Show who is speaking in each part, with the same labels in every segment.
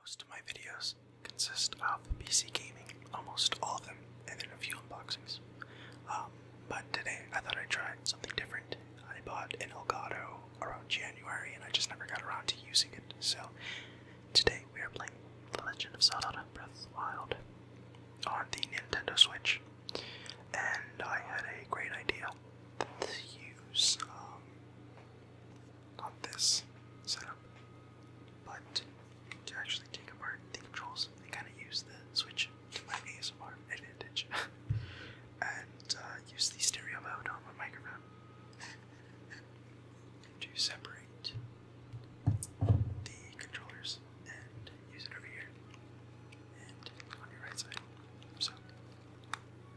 Speaker 1: Most of my videos consist of PC gaming, almost all of them, and then a few unboxings. Um, but today I thought I'd try something different. I bought an Elgato around January and I just never got around to using it, so today we are playing The Legend of Zelda Breath of the Wild on the Nintendo Switch. And I had a great idea to use um, this setup. But to actually take apart the controls, I kind of use the Switch to my ASMR advantage, and uh, use the stereo mode on my microphone to separate the controllers and use it over here and on your right side. So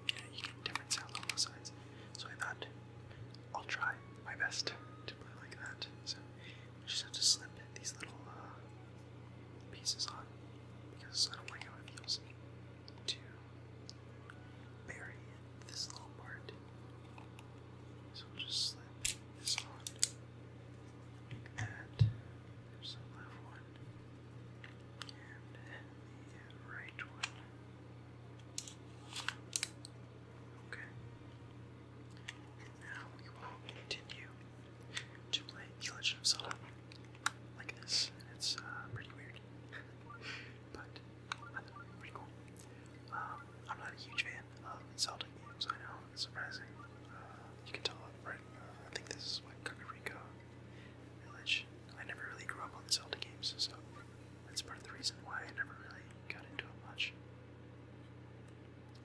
Speaker 1: you you get different on both sides. So I thought I'll try my best to play like that. So I just have to slip these little uh, pieces on because I don't like how it feels to bury this little part. So we'll just slip this on. And there's the left one. And the right one. Okay. now we will continue to play The Legend of Zelda like this. it's uh, pretty weird. but I thought it pretty cool. Um, I'm not a huge fan of Zelda games, I know, it's surprising. Uh, you can tell, right? Uh, I think this is what Kakariko Village. I never really grew up on the Zelda games, so that's part of the reason why I never really got into it much.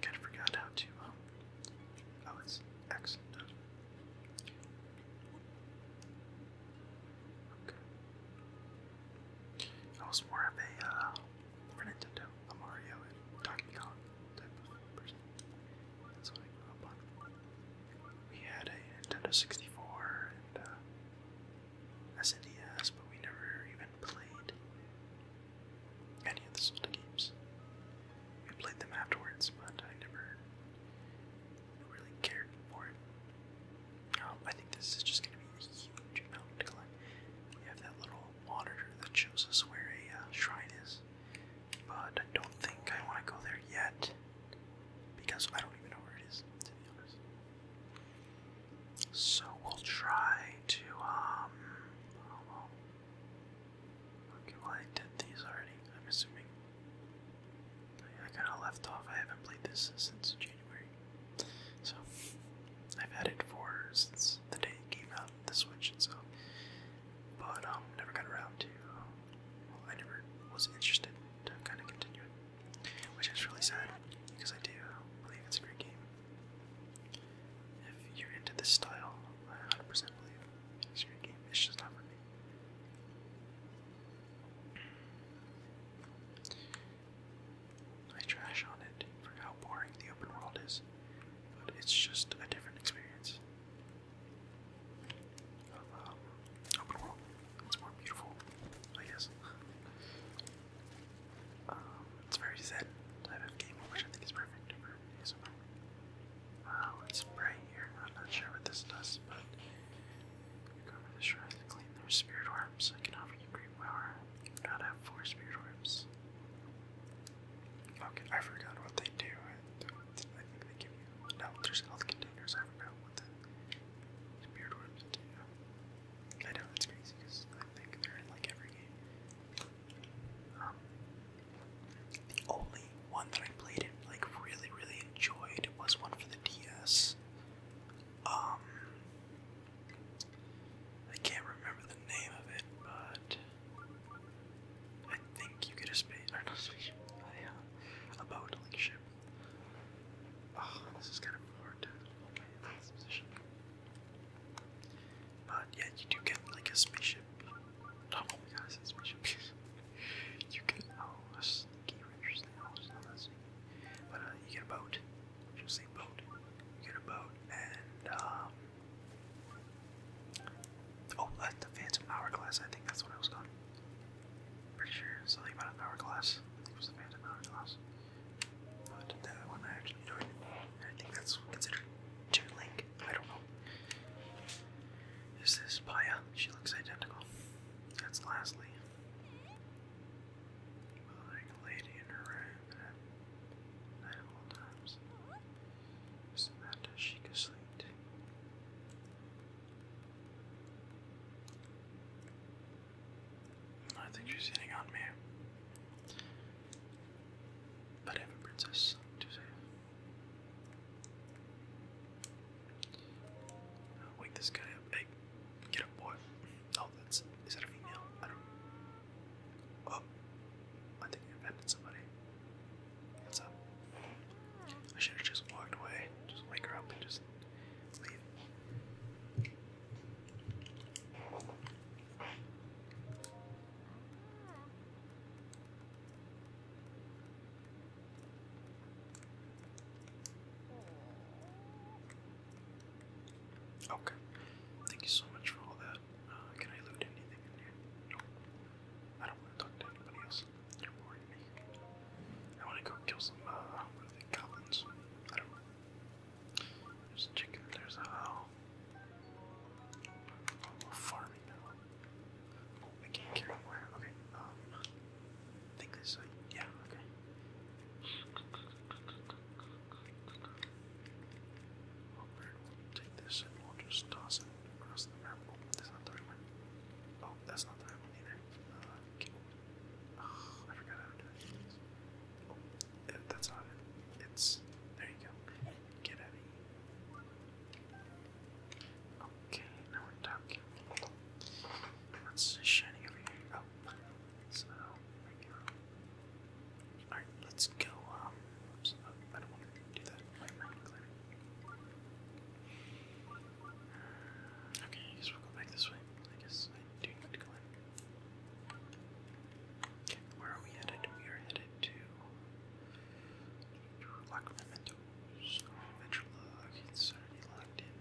Speaker 1: Kind of forgot how to. Um, oh, it's X. Okay. I was more of a uh, Nintendo, Mario and Donkey Kong type of person. That's I grew up on. We had a Nintendo 64 and uh, SNES, but we never even played any of the Zelda games. We played them afterwards, but I never really cared for it. Oh, I think this is just going to be a huge mountain We have that little monitor that shows us where a uh, shrine is, but I don't think I want to go there yet. Because I don't even know where it is, to be honest. So we'll try to, um, oh, Okay, well I did these already, I'm assuming. I kinda left off, I haven't played this since January. So, I've had it for, since the day it came out, the Switch, and so. But, um, never got around to, I never was interested to kinda continue it which is really sad because I do believe it's a great game. If you're into this style, I 100% believe it's a great game. It's just not for me. I trash on it for how boring the open world is, but it's just a different experience open world. It's more beautiful, I guess. Um, it's very zen type of game, which I think is perfect for ASMR. Uh, let's spray here. I'm not sure what this does, but recover the shrine clean their spirit orbs. I can offer you great power. You do not have four spirit orbs. Okay, I forgot what they do. I, think they give you. No, there's health containers. I forgot what the spirit orbs do. I know that's crazy because I think they're in like every game. Um, the only one that I played and like really really enjoyed was one for the DS. Um, I can't remember the name of it, but I think you get a space or uh, a boat like ship Oh, this is kind of hard to open in this position. But yeah, you do get like a spaceship. Oh my god, I spaceship. you get, oh, a sneaky But uh, you get a boat. You'll boat. You get a boat, and um, Oh, uh, the Phantom Hourglass, I think that's what I was calling. Pretty sure something about an hourglass. I think it was the Phantom Hourglass. But that one I actually enjoyed. I think that's considered Toon Link. I don't know. Is this Paya? She looks identical. That's Lastly. lady in her room night at times. Isn't that Sheikah I think she's hitting on me. But I princess wake this guy up. get up, boy. Oh, that's. Is that a female? I don't. Oh, I think I offended somebody. What's up? I should have just walked away. Just wake her up and just. Okay. Thank you so much for all that. Uh, can I loot anything in here? No. I don't want to talk to anybody else. You're boring me. I want to go kill some, uh, I don't know. There's a there's a oh. farming oh, I can't carry where? Okay, um, I this, uh, yeah, okay. Oh, we'll take this and we'll just toss it across the map. that's not the right one. Oh, that's not the right one either. Uh, I forgot how to Oh, that's not it. It's there. You go. Get out of here. Okay, now we're talking. What's shining over here? Oh, so All right, let's go. Um, oh, I don't want to do that. Okay, I guess we'll go back this way. I guess I do need to go in. Okay, where are we headed? We are headed to Lock Mementos. Adventure log. It's already locked in.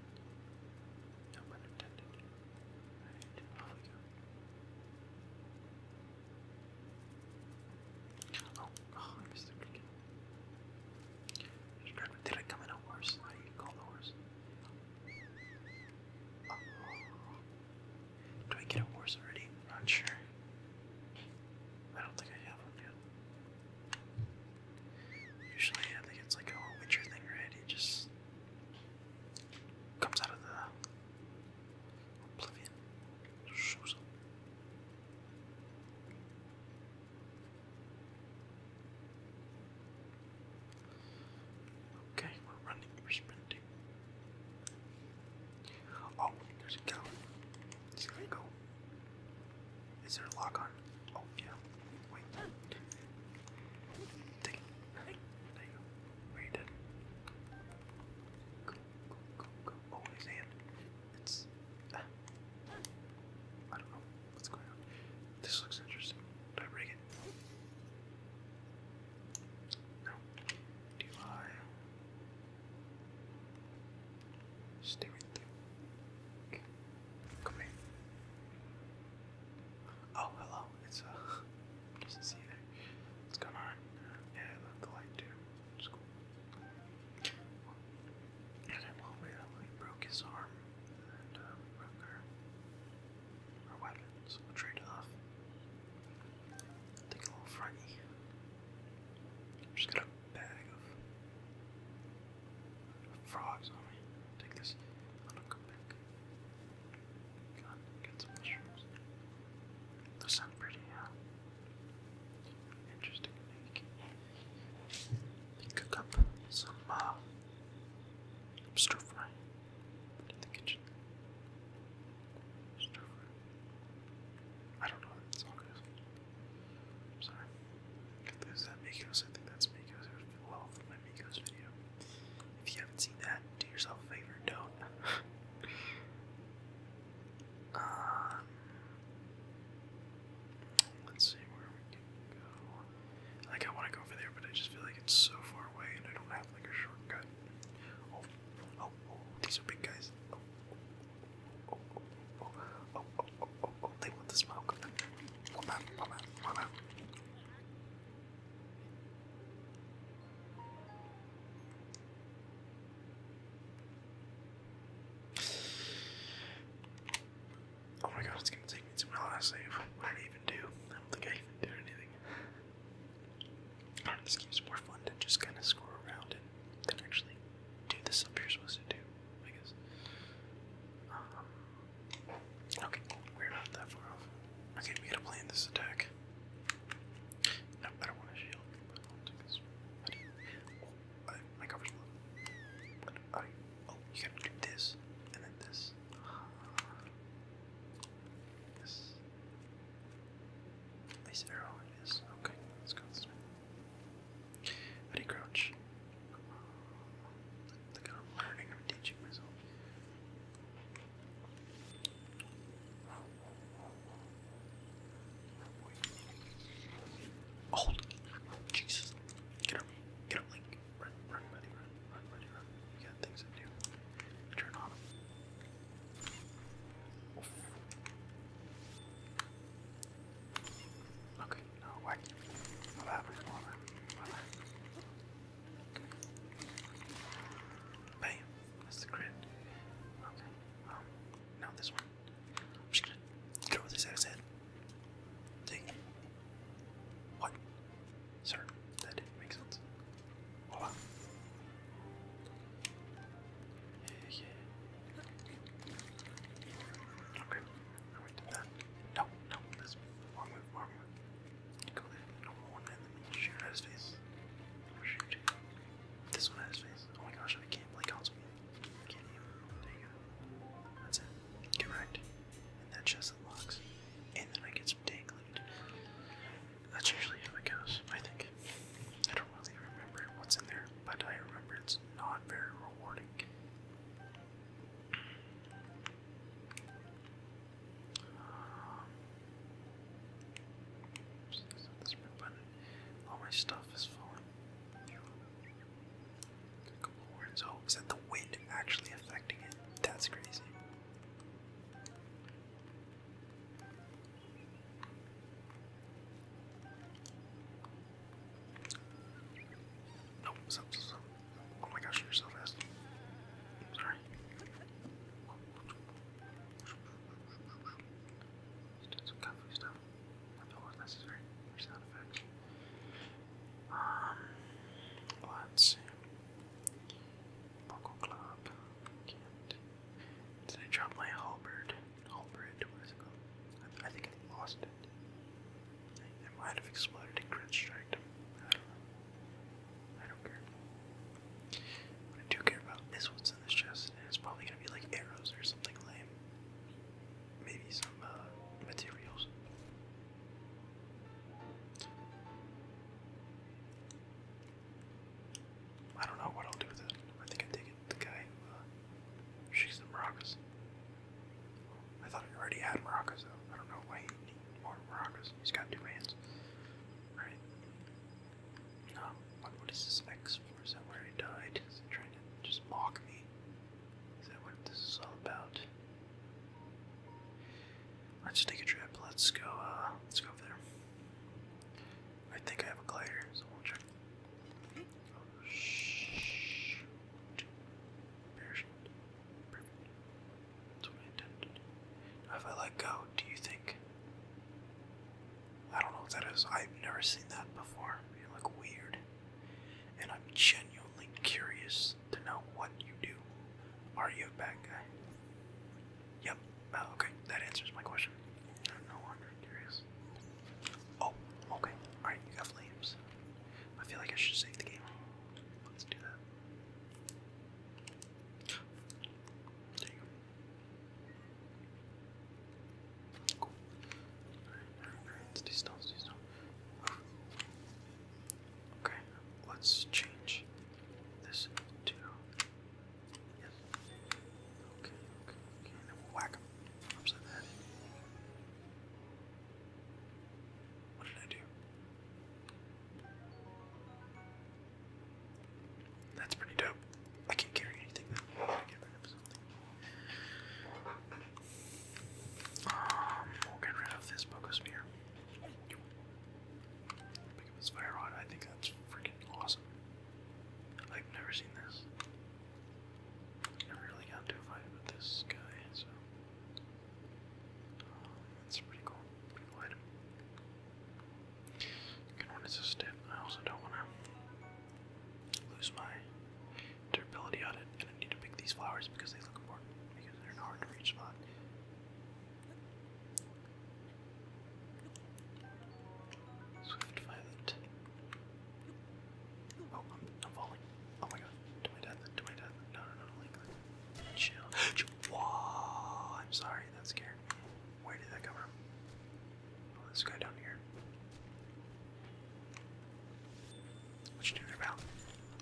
Speaker 1: No pun intended. Alright, off we go. Oh, oh I missed the cricket. Did I come in a horse? do call the horse? Do I get a horse already? not sure. I don't think I have one yet. Usually, I think it's like a whole Witcher thing, right? just comes out of the oblivion. Shows Okay, we're running, we're sprinting. Oh, there's a cow. It's going go. Is there a lock on? Oh, yeah. Wait. there you go. Where Go, go, go, go. Oh, his it's. Ah. I don't know what's going on. This looks interesting. Do I. Stay with you. Come here. Oh, hello. It's, uh. Doesn't see you there. going on? Yeah, I love the school. And then while we were broke his arm, and uh, broke our, our weapons. trade off. Take a little froggy. i just got a bag of frogs on me. Take this. I don't come back. God, get some mushrooms. Those sound pretty, Interesting. cook up some uh, stir fry in the kitchen. Stir fry. I don't know what it's am sorry. There's that Migos. I think that's Migos. It well my Migos video. If you haven't seen that, do yourself a favor. Don't. let's see where we can go. Like I want to go over there, but I just feel like it's so far away, and I don't have like a shortcut. Oh, oh, oh! These are big guys. Oh, oh, oh, oh, oh, They want the smoke. Come out, come out, come out. Oh my god, it's gonna take me to my last save. What did I even do? I don't think I even did anything. Alright, this game's more fun to just kind of score around and then actually do the stuff you're supposed to do, I guess. Um, okay, we're not that far off. Okay, we gotta plan this attack. No, I want to shield. I, my cover's blown. I, oh, you gotta do this, and then this. This. Nice arrow it is. Okay, let's go this crouch? Look I'm learning, i teaching myself. Oh, Jesus. Get up, get up, Run, run, buddy, run, run, buddy, run. You got things to do. Turn on Okay, no, why? What happened? What happened? What That's the crit. Okay. Um, now this one. I'm just gonna throw this at his head. Dang. What? Sir, that didn't make sense. Voila. Okay. Alright, did that. No, no, that's wrong move, wrong move. Go there, number one, and shoot at his face. Shoot. This one at his face. Oh my gosh, I can't play console can't That's And that chest unlocks. And then I get some tank That's usually how it goes, I think. I don't really remember what's in there, but I remember it's not very rewarding. Um, just this button. All my stuff is falling. is that the wind actually affecting it? That's crazy. Nope, stop, stop, stop. Oh my gosh, you're so fast. Sorry did some kung stuff. I was necessary for sound effects. Um, let's see. Local Did I drop my halberd? Halberd, what is it I, think I lost it. might have exploded in crit striked I don't know. I don't care. I do care about is what's bullets chest, and it's probably gonna be like arrows or something lame. Maybe some uh, materials. I don't know what I'll do with it. I think I take it the guy who uh, the maracas. I thought I already had maracas though. I don't know why he needs more maracas. He's got two hands. Right? Um, what is this X for? Is that where I died? Is it trying to just mock me? Is that what this is all about? Let's take a trip. Let's go, uh, let's go over there. I think I have a glider, so we'll check. Oh, shoot. Parachute. intended. if I let go, do you think... I don't know what that is. I've never seen that before. You look weird. And I'm genuinely curious to know what you do. Are you a bad guy? Yep. Oh, okay, that answers my question. I'm curious. Oh, okay. Alright, you got flames. I feel like I should save the game. Let's do that. There you Cool. Stay Okay, let's change this to. Yes. Okay, okay, okay. then we'll whack him What did I do? That's pretty dope. I can't carry anything though. Um, we'll get rid of this Pogo Spear. Pick up this Fire Rod. I think that's freaking awesome. I've never seen this. I really got into fight with this guy, so. Um, that's pretty cool. Pretty Good one is a step. I also don't want to lose my durability on it, and I need to pick these flowers because they look important because they're in a hard to reach spot. Swift violet. Oh, I'm, I'm falling. Oh my god. To my death. To my death. No, no, no, no. Like, chill. Whoa! I'm sorry. That scared me. Where did that come from? this guy down here. What you doing there, pal?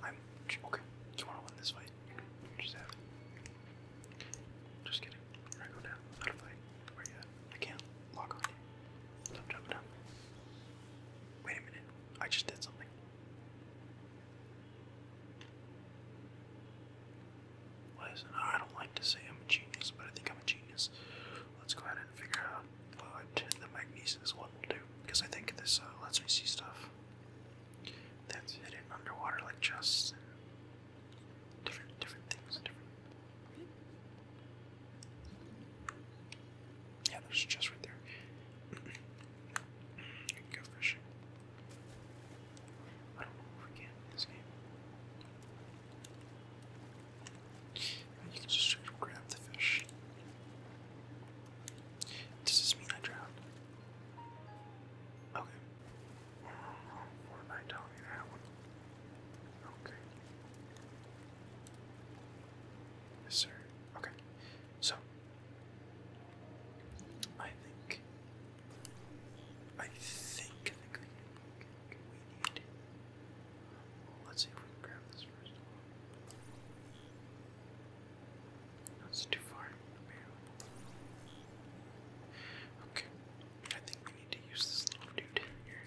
Speaker 1: I'm okay. You wanna win this fight? You're just Just kidding. I go down. Not a fight. Where you at? I can't lock on Stop jumping up. Wait a minute. I just did something. Lies I don't like to say I'm a genius, but I think I'm a genius. Let's go ahead and figure out what the magnesium is what will do, because I think this uh, lets me see stuff that's hidden underwater, like chests and different different things. Different. Yeah, there's a chest right there. Go fishing. I don't know if we can you can just grab the fish. Does this mean I drowned? Okay. What did I tell me that one? Okay. Yes, sir. Okay. So, I think. I think, let's see if we can grab this first. No, too far. Okay, I think we need to use this little dude here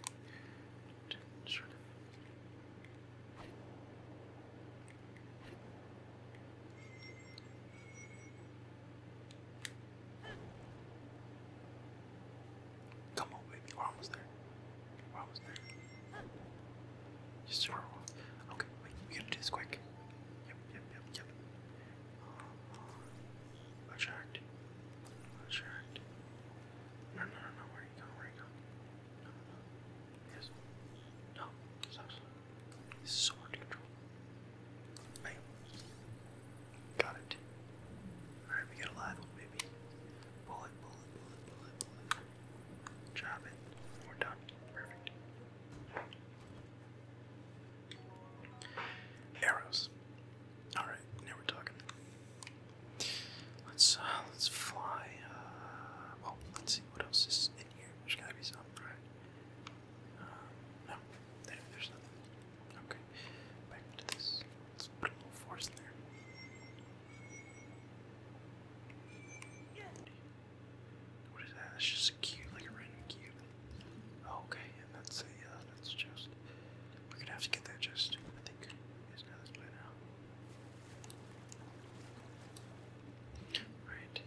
Speaker 1: sort of. Come on, baby. We're almost there. We're almost there. Just throw off. Okay, wait. We gotta do this quick. Yep, yep, yep, yep. Uh, attract. No, no, no, no. Where you going? Where you going? No, no, no. Yes. No. This is so hard to control got it. Alright, we got a live one, baby. Bullet, bullet, bullet, bullet, bullet. Drop it. We're done. Perfect. Arrows. Alright, now we're talking. Let's uh, let's fly. Uh, well, oh, let's see what else is in here. There's gotta be something, right? Uh, no, there's nothing. Okay, back to this. Let's put a little force in there. What is that? That's just a cube, like a random cube. Oh, okay, and that's a, uh, that's a We're gonna have to get that chest, I think. It's not this now. Right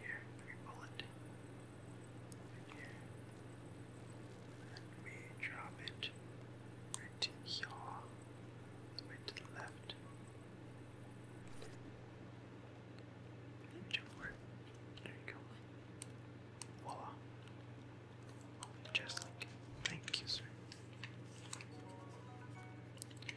Speaker 1: here, three bullet. here. And we drop it right here, all the to the left. Into it. There you go. Voila. Just like, thank you, sir.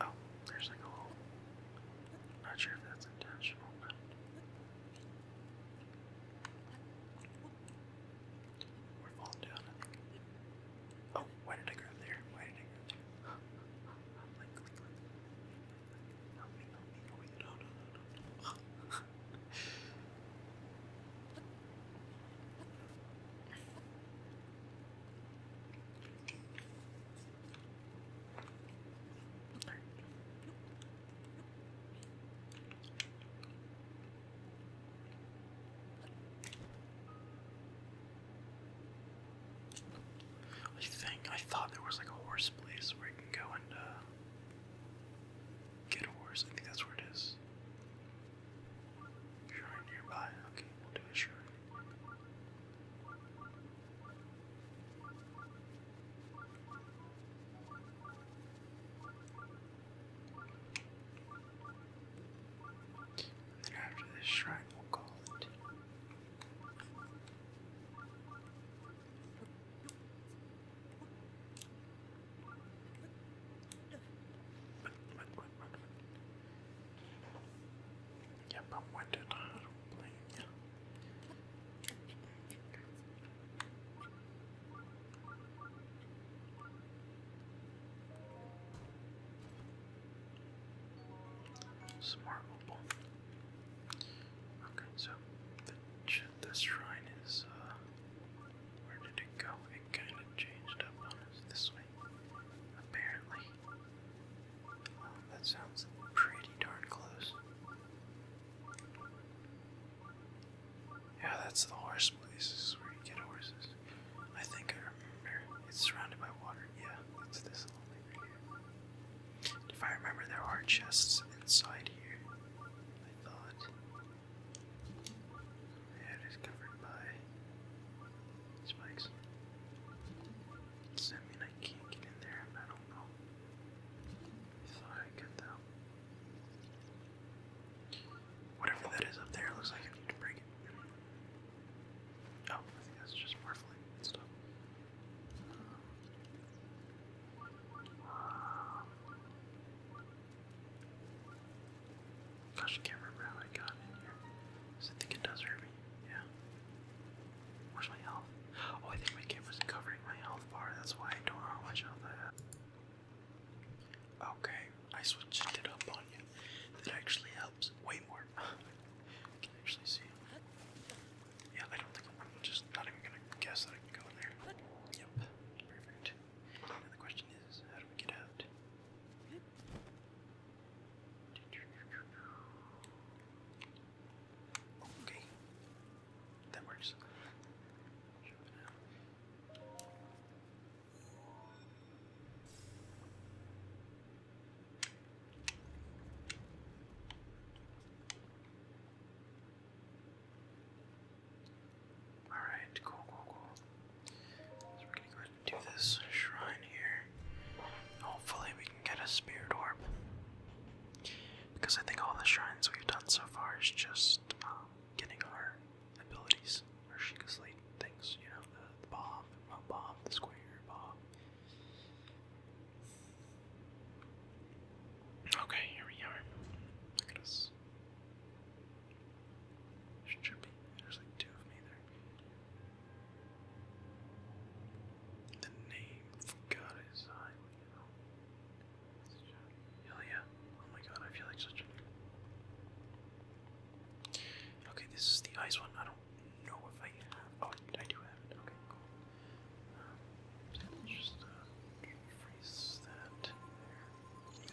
Speaker 1: Oh, there's like a hole. Not sure if that's intentional, but we're falling down. Oh, why did I grab there? Why did I grab there? I think I thought there was like a horse place where you can go and uh, get a horse. I think that's where it is. Shrine nearby. Okay, we'll do a shrine. And after this shrine, we'll call it. But, but yeah, but when did I do Smart opal. Okay, so the, this shrine is, uh, where did it go? It kind of changed up on us this way, apparently that sounds pretty darn close. Yeah, that's the horse place. This is where you get horses. I think I remember. It's surrounded by water. Yeah, it's this little thing If I remember, there are chests inside here. I thought. it is covered by spikes. Does that mean I can't get in there? I don't know. I thought I could though. Whatever that is up there, looks like I need to break it. Oh, I think that's just marveling and stuff. Gosh, I can't remember how I got in here. Because I think it does hurt me. Yeah. Where's my health? Oh, I think my camera's covering my health bar. That's why I don't know how much health I have. Okay, I switched it up on you. That actually helps way more. can actually see. Yeah, I don't think I'm just not even gonna guess that I can go in there. Yep, perfect. Now the question is, how do we get out? Okay, that works. Alright, cool, cool, cool. Do this shrine here. Hopefully, we can get a spirit orb. Because I think all the shrines we've done so far is just um, getting our abilities, our Sheikah's Late things, you know, the, the bomb, the bomb, the square bomb. Okay, here we are. Look at us. Should There's like two of me there. The name for God is Hell yeah. Oh my god, I feel like such Okay, this is the ice one. I don't know if I Oh, I do have it. Okay, cool. Um, just uh, freeze that there.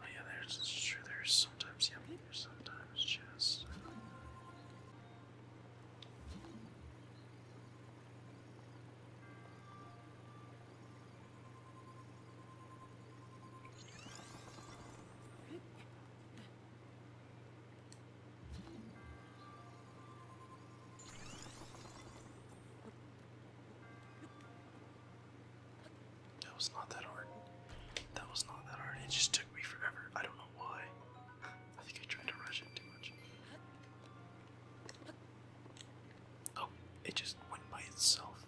Speaker 1: Oh yeah, there's sure there's sometimes yeah, sometimes just uh, that was not that hard. That was not that hard. It just took me forever. I don't know why. I think I tried to rush it too much. Oh, it just went by itself.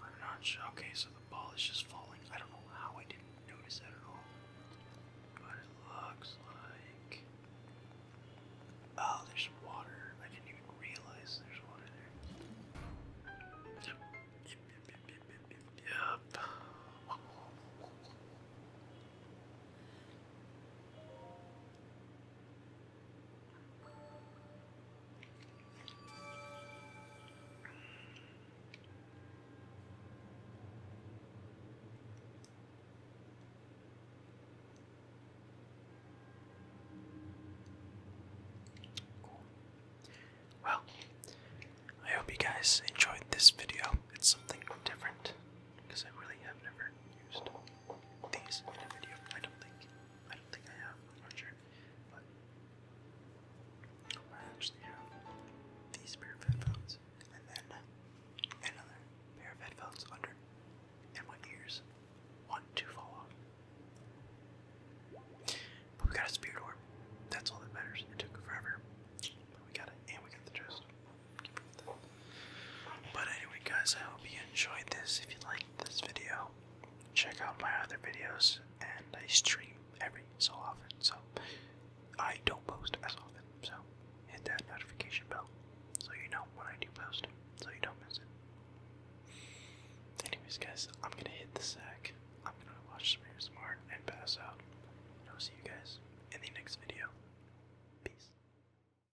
Speaker 1: I'm not sure. Okay, so the ball is just falling. I don't know how I didn't notice that at all. But it looks like. Oh, there's water. I didn't even realize there's water there. Well, I hope you guys enjoyed this video. It's something different because I really have never used these in a video. I don't think I don't think I have, not sure. But I actually have these pair of headphones and then another pair of headphones under and my ears want to fall off. But we got a spirit orb. That's all that matters. It took forever. But we got it and we got the chest. But anyway, guys, I hope you enjoyed this. If you liked this video, check out my other videos, and I stream every so often, so I don't post as often. So hit that notification bell so you know when I do post, so you don't miss it. Anyways, guys, I'm gonna hit the sack. I'm gonna watch some ASMR and pass out. And I'll see you guys in the next video. Peace.